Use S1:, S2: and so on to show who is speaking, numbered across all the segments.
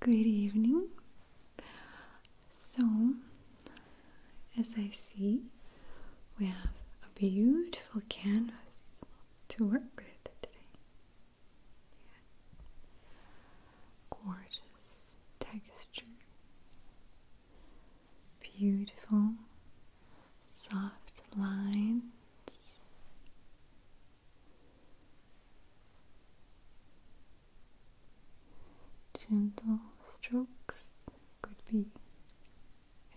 S1: Good evening. So, as I see, we have a beautiful canvas to work with today. Gorgeous texture, beautiful soft lines, Gentle strokes could be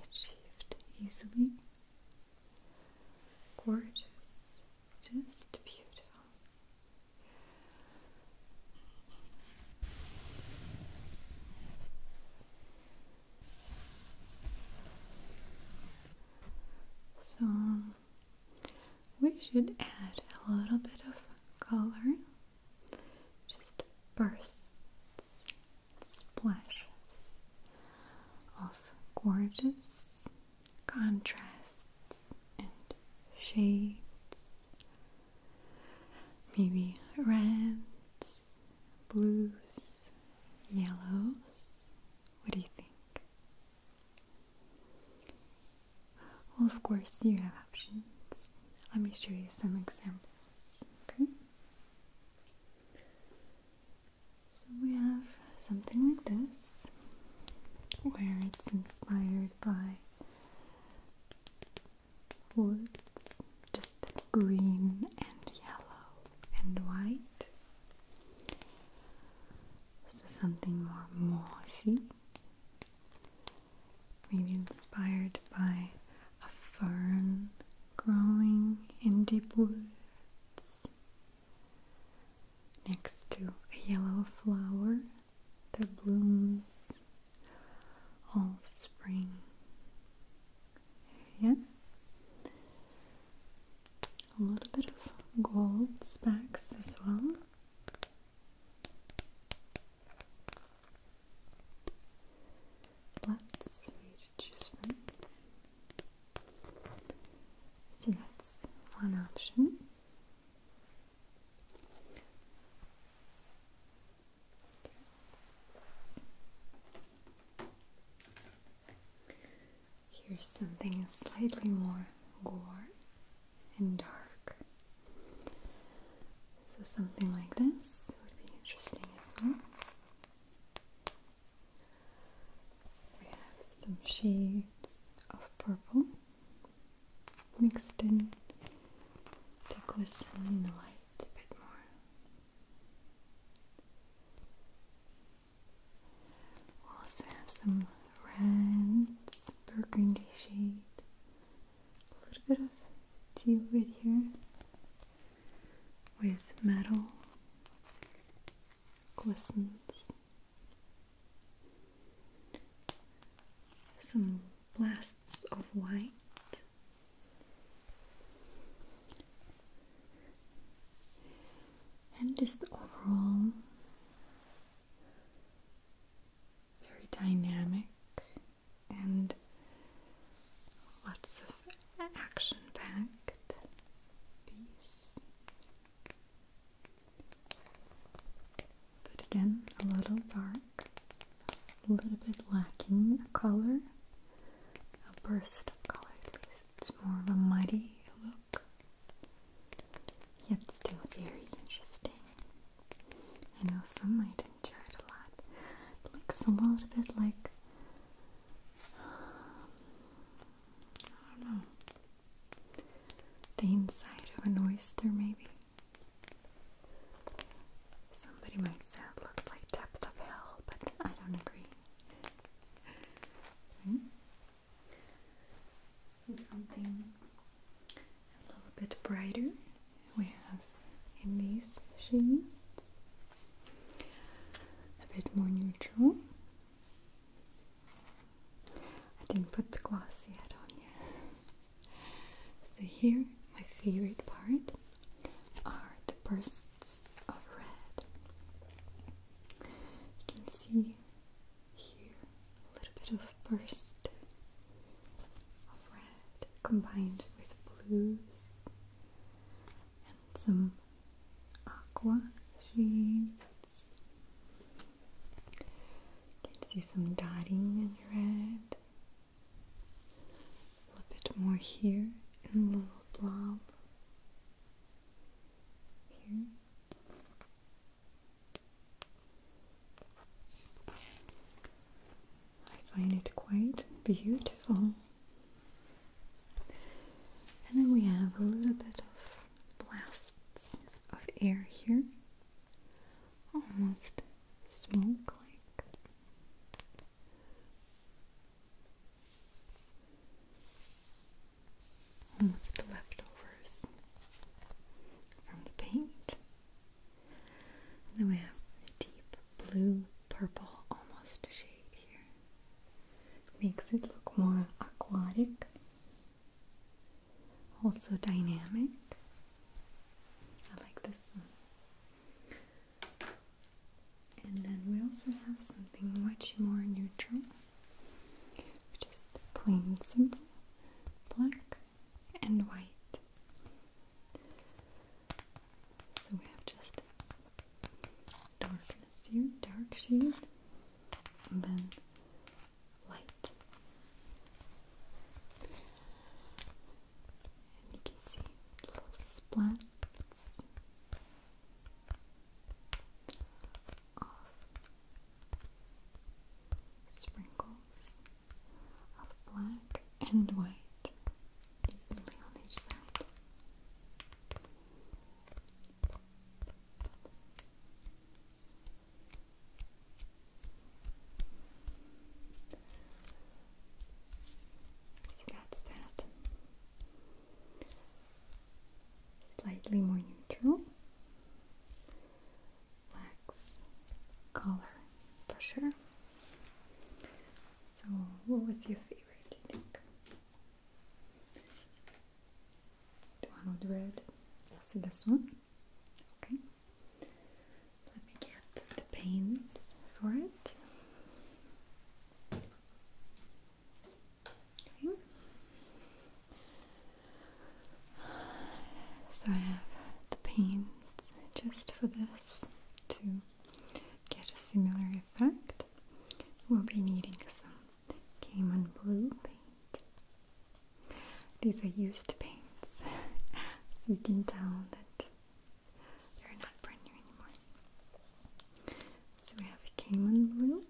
S1: achieved easily. Gorgeous, just beautiful. So we should add a little bit of color, just bursts, splashes of gorgeous contrasts and shades. Maybe reds, blues, yellows. What do you think? Well, of course, you have options. Let me show you some examples. Okay. So we have something like this, where it's inspired by woods, just green and yellow and white. So something more mossy. Maybe inspired by a fern growing in deep woods next to a yellow flower that blooms all spring. Yeah a little bit of gold specks as well. Let's read choose So that's one option. Here's something slightly more gore and dark. So something like this would be interesting as well. We have some shades of purple mixed in to glisten in the light a bit more we also have some reds, burgundy shade, a little bit of teal right here with metal glistens. Some blasts of white and just overall very dynamic and lots of action packed piece. But again, a little dark, a little bit lacking a color, a burst of color at least. It's more of a muddy look. It's still very interesting. I know some might enjoy it a lot. looks a little bit like I don't know the inside of an oyster, maybe. Somebody might say it looks like depth of hell, but I don't agree. Hmm? So something a little bit brighter we have in these shades. A bit more neutral. I didn't put the gloss yet on yet. So here, my favorite part are the bursts of red. You can see here a little bit of burst of red combined with blues and some aqua shades. You can see some dotting in red. A little bit more here and a little blob I find it quite beautiful. And then we have a little bit of blasts of air here, almost smoke like almost leftovers from the paint. And then we have a deep blue purple almost shade here. Makes it look more aquatic, also dynamic. I like this one. And then we also have something much more neutral, which is the plain simple black and white. So we have just darkness here, dark shade, and then light. And you can see little splats of sprinkles of black and white evenly on each side. So that's that slightly more neutral wax color for sure. So, what was your favorite? Do You think the one with red? So this one. Okay. Let me get the paints for it. So I have the paints just for this to get a similar effect. We'll be needing some Cayman blue paint. These are used paints, so you can tell that they're not brand new anymore. So we have a Cayman blue.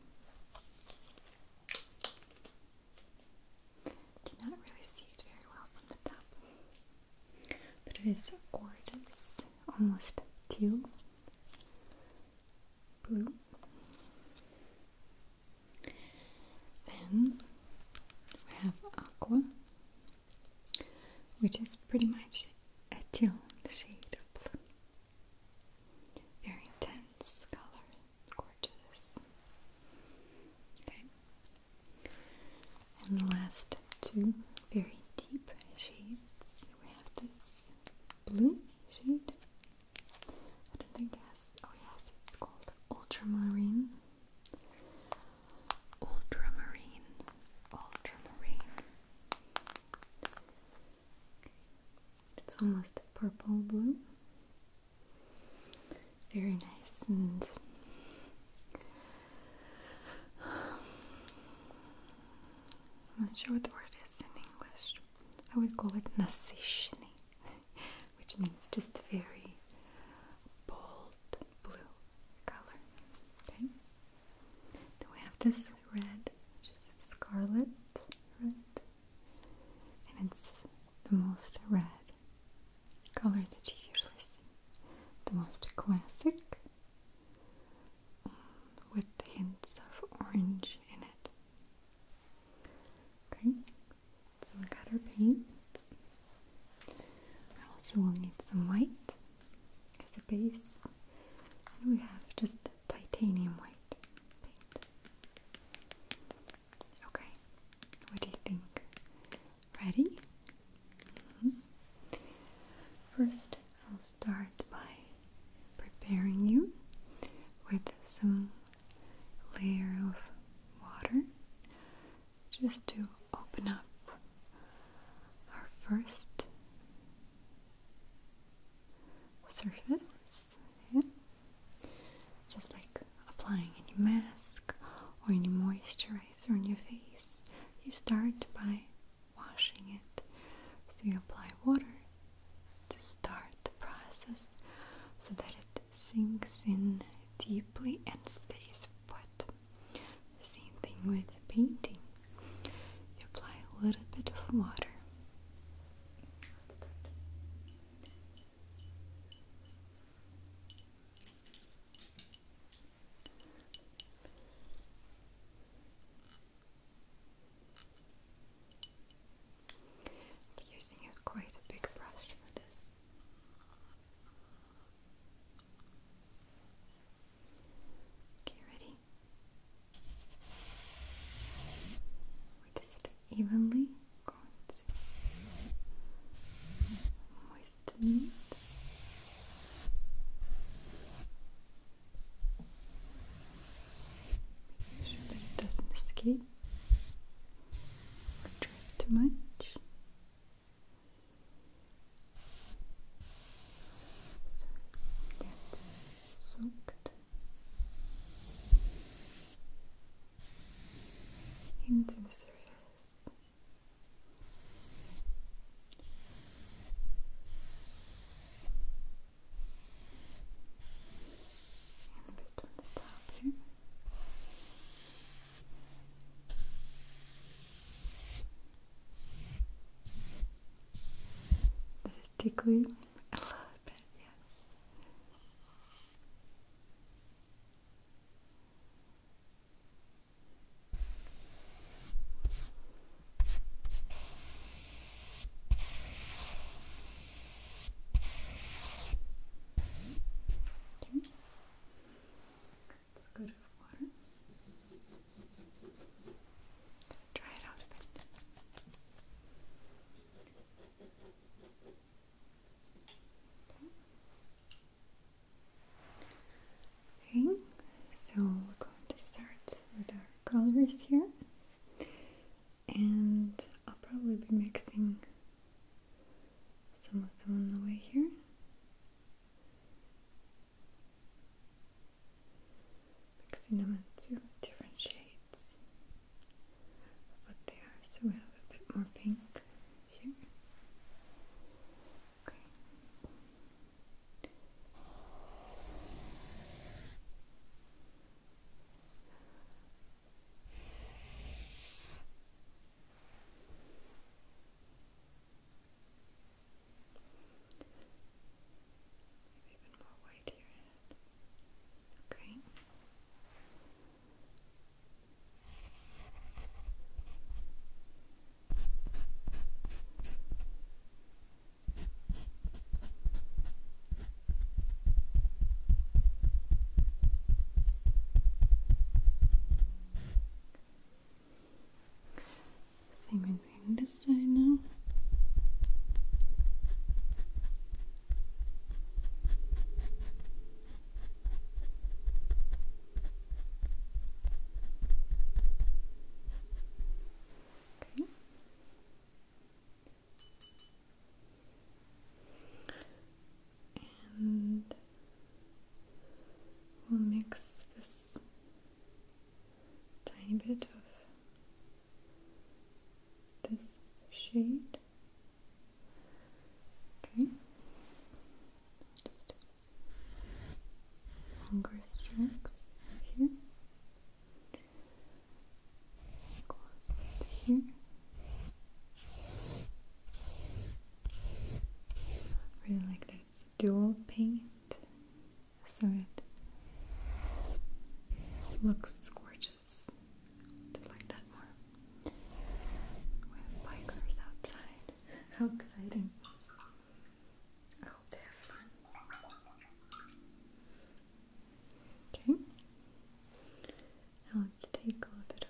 S1: Cannot really see it very well from the top. But it is gorgeous, almost teal blue. Then we have aqua, which is pretty much a teal shade of blue. Very intense color, gorgeous. Okay. And the last two very deep shades. We have this blue shade. I don't think Oh yes, it's called ultramarine. Ultramarine, ultramarine. It's almost purple blue. Very nice and I'm not sure what the word is in English. I would call it nasishni, which means just very bold blue color. Then we have this red, which is scarlet red, and it's the most red color that you usually see. The most classic, um, with hints of orange in it. Okay, so we got our paints. I also will need some white as a base, we have just titanium white paint. Okay, what do you think? Ready? Mm-hmm. First, I'll start by preparing you with some layer of water just to open up our first surface, yeah? just like applying any mask or any moisturizer on your face. You start by washing it. So you apply water to start the process so that it sinks in deeply and stays wet same thing with painting. You apply a little bit of water. using a quite a big brush for this. Okay, ready? We're just evenly going to moisten it. Make sure that it doesn't escape or drip too much. So, jetzt into the surface. And a the top did it tickle you? A little bit, yes. Okay. Let's go to water okay, so we're going to start with our colors here, and I'll probably be mixing some of them on the way here mixing them into different shades of what they are. So we have a bit more pink here. Okay. Maybe even more white to Okay. Same thing this side now. Okay. And we'll mix this tiny bit of this shade. Okay, just longer strokes here, close here. Really like that. dual paint so it looks gorgeous. Just like that more. We have bikers outside. How exciting! I hope they have fun. Okay. Now let's take a little bit of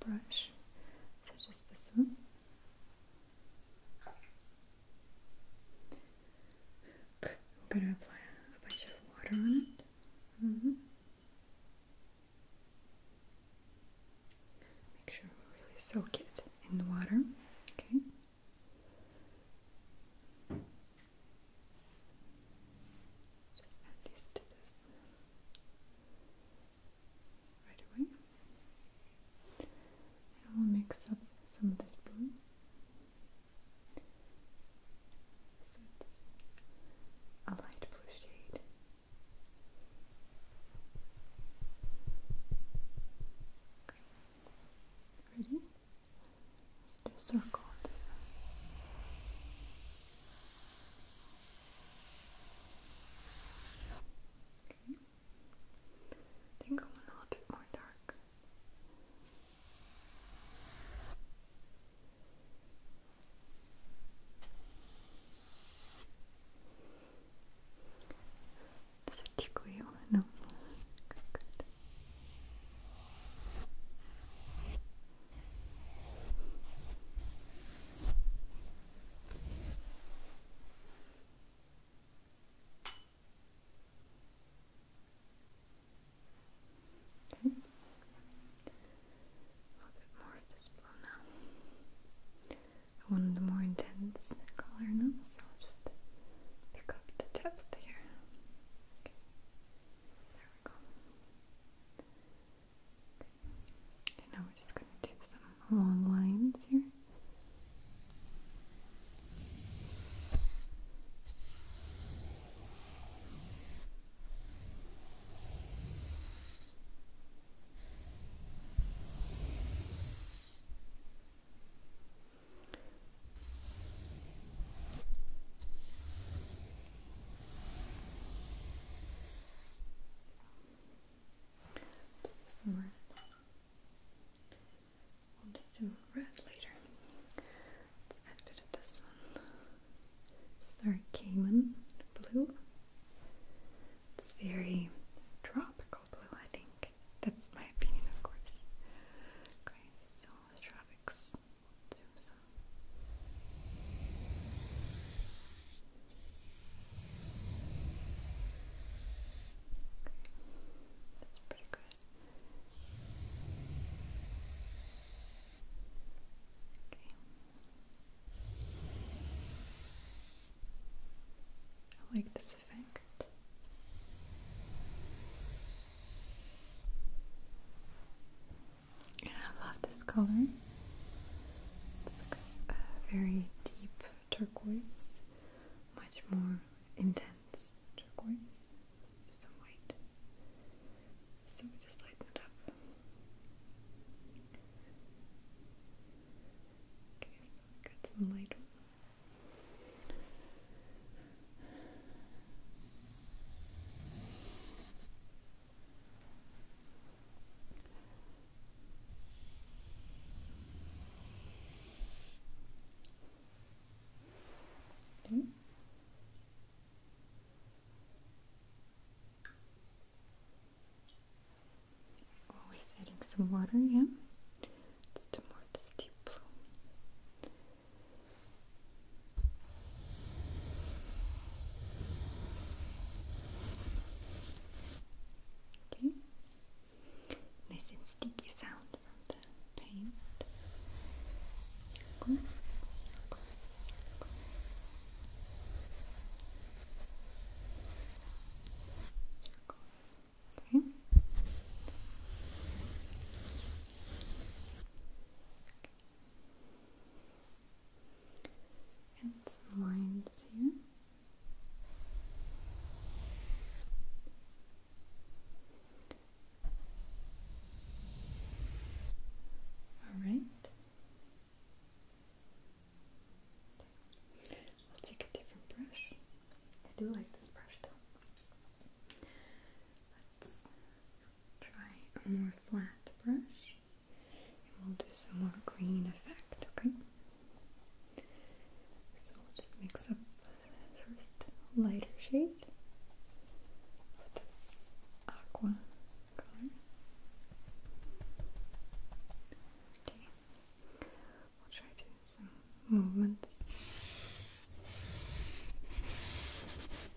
S1: brush, such as this one. I'm going to apply a bunch of water on it. Mm-hmm. Make sure we really soak it in the water. Okay. Just add these to this right away. I will mix up some of this blue. it's a light blue shade. Ready? Let's do a circle on this Okay. Then go a little bit more dark. Does it tickle you? No. good. A little bit more of this blue now. I want a more intense color now, so I'll just pick up the depth here. There we go. And now we're just going to do some long lines here let just do red later. Let's this one. This Cayman blue. It's very tropical blue, I think. That's my opinion, of course. Okay, so the that's pretty good. Okay. I like this effect. I love this color. It's a, very deep turquoise, much more intense turquoise, some white. So we just lighten it up. Okay, so we some light. Always oh, adding some water, yeah. It's the more the blue. Okay. Nice and sticky sound from the paint. Circle, and some lines here. All right. I'll take a different brush. I do like this brush though. Let's try a more flat brush we'll do some more green effect, okay? So we'll just mix up the first lighter shade with this aqua color. Okay. We'll try to do some movements. Okay.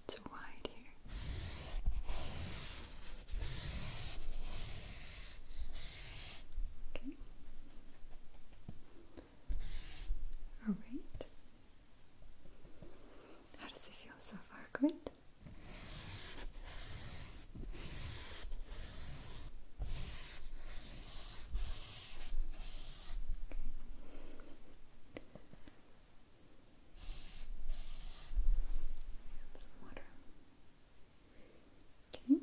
S1: It's too wide here. Okay. All right. How does it feel so far? Good. some water. Okay.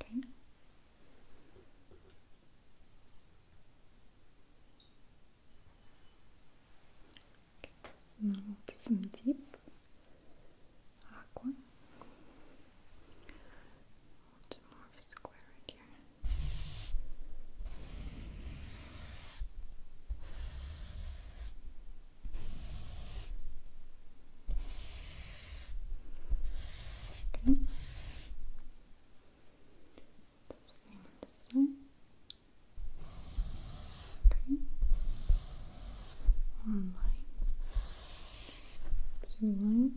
S1: Okay. Okay, some deep água ah, more square right here. Okay. Same this side. Okay. One line. Two lines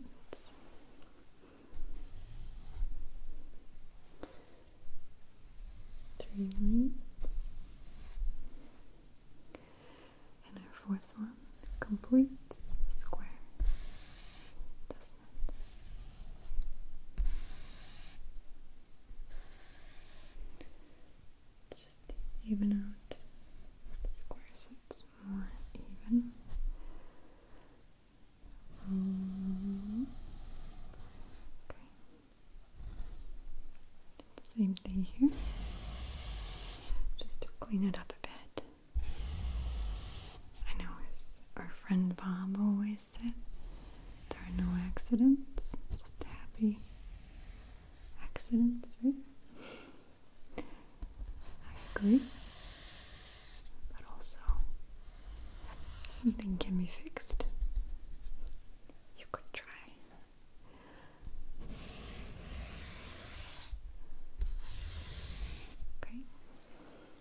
S1: three lines, and our fourth one completes the square, Just even out the square so it's more even. Mm-hmm. Same thing here, just to clean it up a bit. I know, as our friend Bob always said, there are no accidents, just happy accidents, right? I but also something can be fixed. You could try. Okay,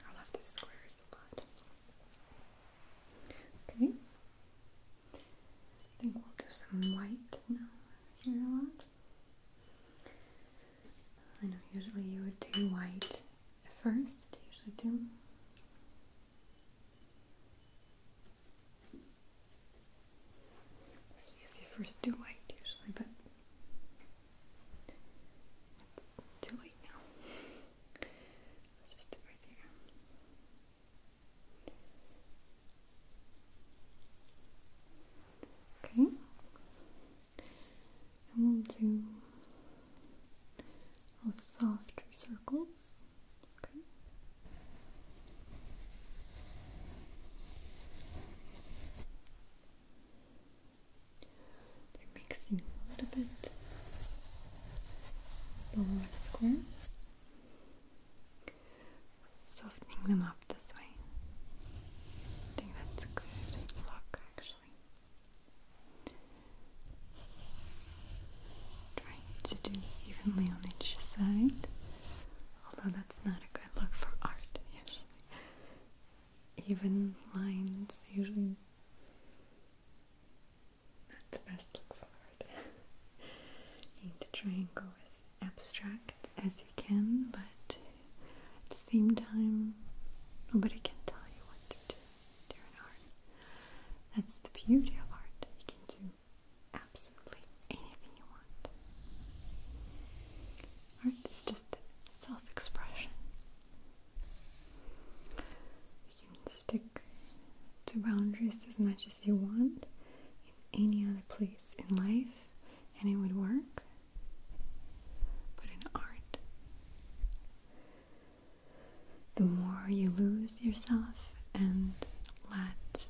S1: I love these squares a lot. Okay, I think we'll do some white now here a lot. I know usually you would do white first, usually do. So first do white usually, but it's too now. Let's just do it right here. Okay. And we'll do all softer circles. Okay. They're mixing a little bit lower squares. Softening them up this way. I think that's a good look actually. Trying to do evenly on each side, although that's not a good look for art usually. Even lines usually not the best look for art. I think the triangle is abstract as you can, but at the same time, nobody can tell you what to do during art. That's the beauty of art. You can do absolutely anything you want. Art is just self expression. You can stick to boundaries as much as you want in any other place in life and it would work. But in art, the more you lose yourself and let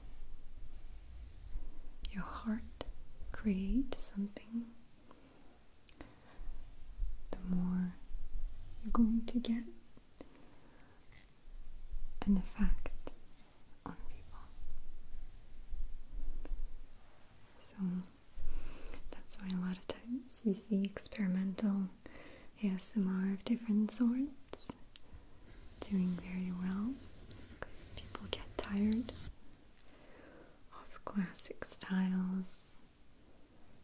S1: your heart create something, the more you're going to get an effect on people. So that's why a lot of times you see experimental ASMR of different sorts doing very well because people get tired of classic styles.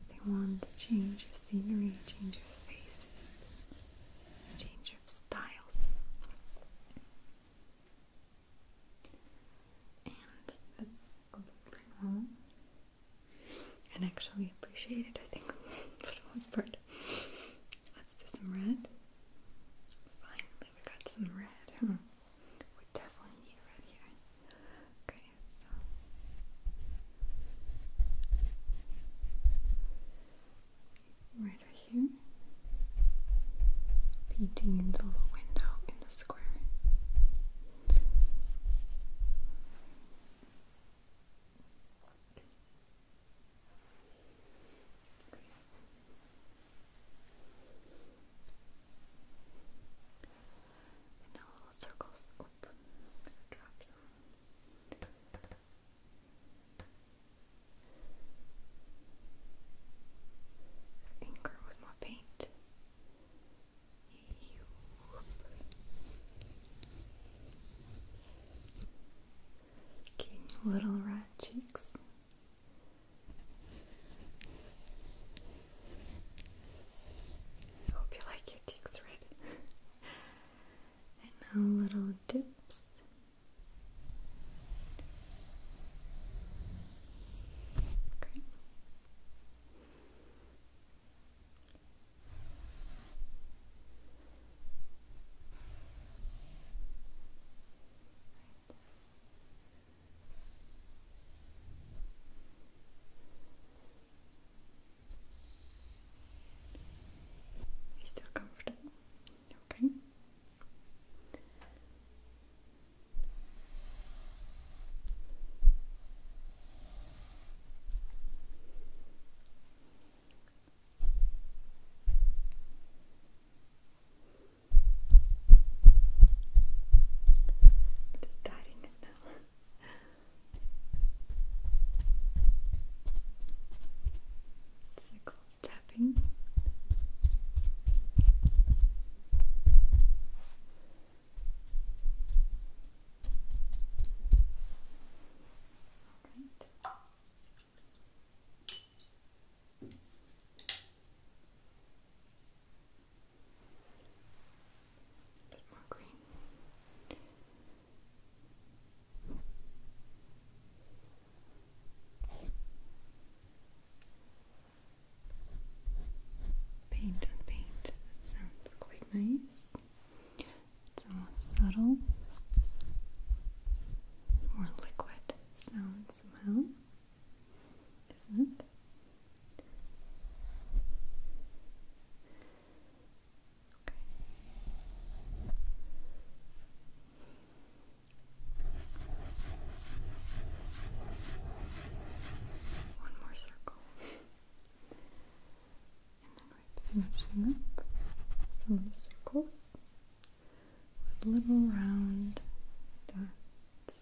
S1: They want to change of scenery, change of faces, change of styles and that's completely normal and actually appreciated I think for the most part. Let's do some red. Finally we got some red. We definitely need red here. Okay, so right over here. Beating into the window in the square. little circles drop some. Inker with my paint little red cheeks. Hope you like your cheeks red. and now little dips. Okay. you still comfortable? Okay. I'm just dying it now. It's like called tapping. Just all right. A bit more green. Paint on paint sounds quite nice. It's more subtle, more liquid sound somehow, isn't it? Okay. One more circle. and then finishing up some of the circles with little round dots.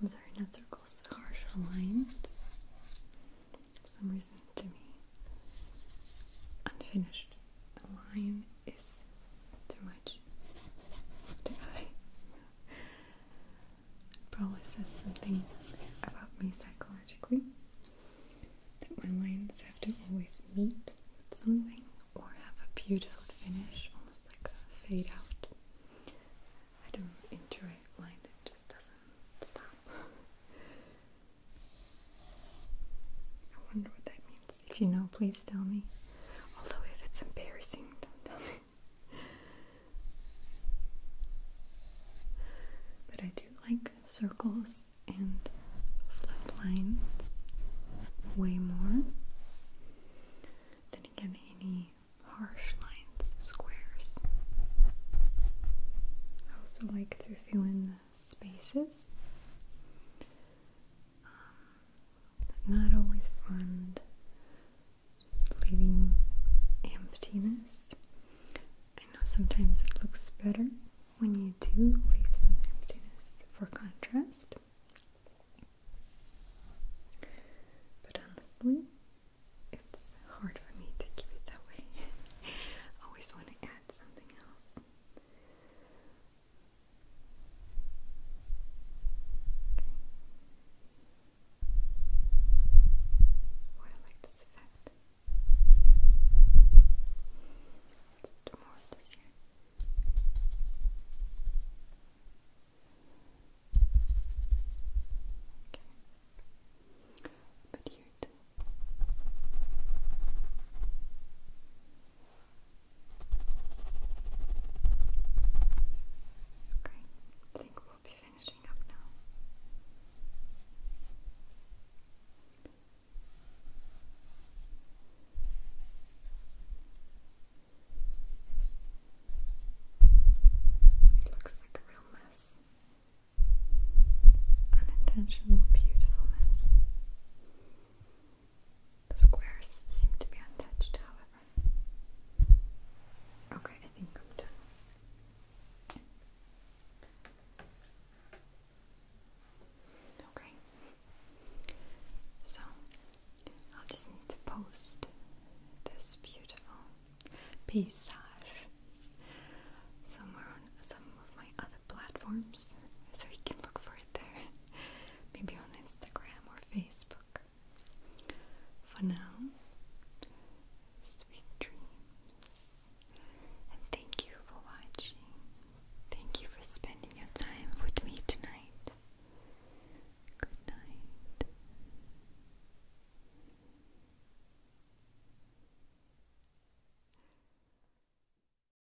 S1: I'm oh, sorry, not circles, harsh lines. For some reason to me, unfinished the line is too much of the Probably says something about me psychologically that my lines have to always meet with something or have a beautiful finish, almost like a fade out. I don't enjoy line that just doesn't stop. I wonder what that means if you know, please tell me. Although if it's embarrassing, don't tell me. But I do like circles and flat lines way more than again any harsh lines, squares. I also like to fill in the spaces not always fond, just leaving emptiness. I know sometimes it looks better when you do leave some emptiness for contrast, but honestly, it's hard for me to keep it that way. I always want to add something else. Oh, I like this effect. Let's do more of this here. Okay. But here too. Okay. Great. I think we'll be finishing up now. It looks like a real mess. Unintentional, beautiful mess. The squares seem to be untouched, however. Okay, I think I'm done. Okay. So, I'll just need to post this beautiful paysage somewhere on some of my other platforms, so you can look for it there. Maybe on Instagram or Facebook. For now, sweet dreams. And thank you for watching. Thank you for spending your time with me tonight. Good night.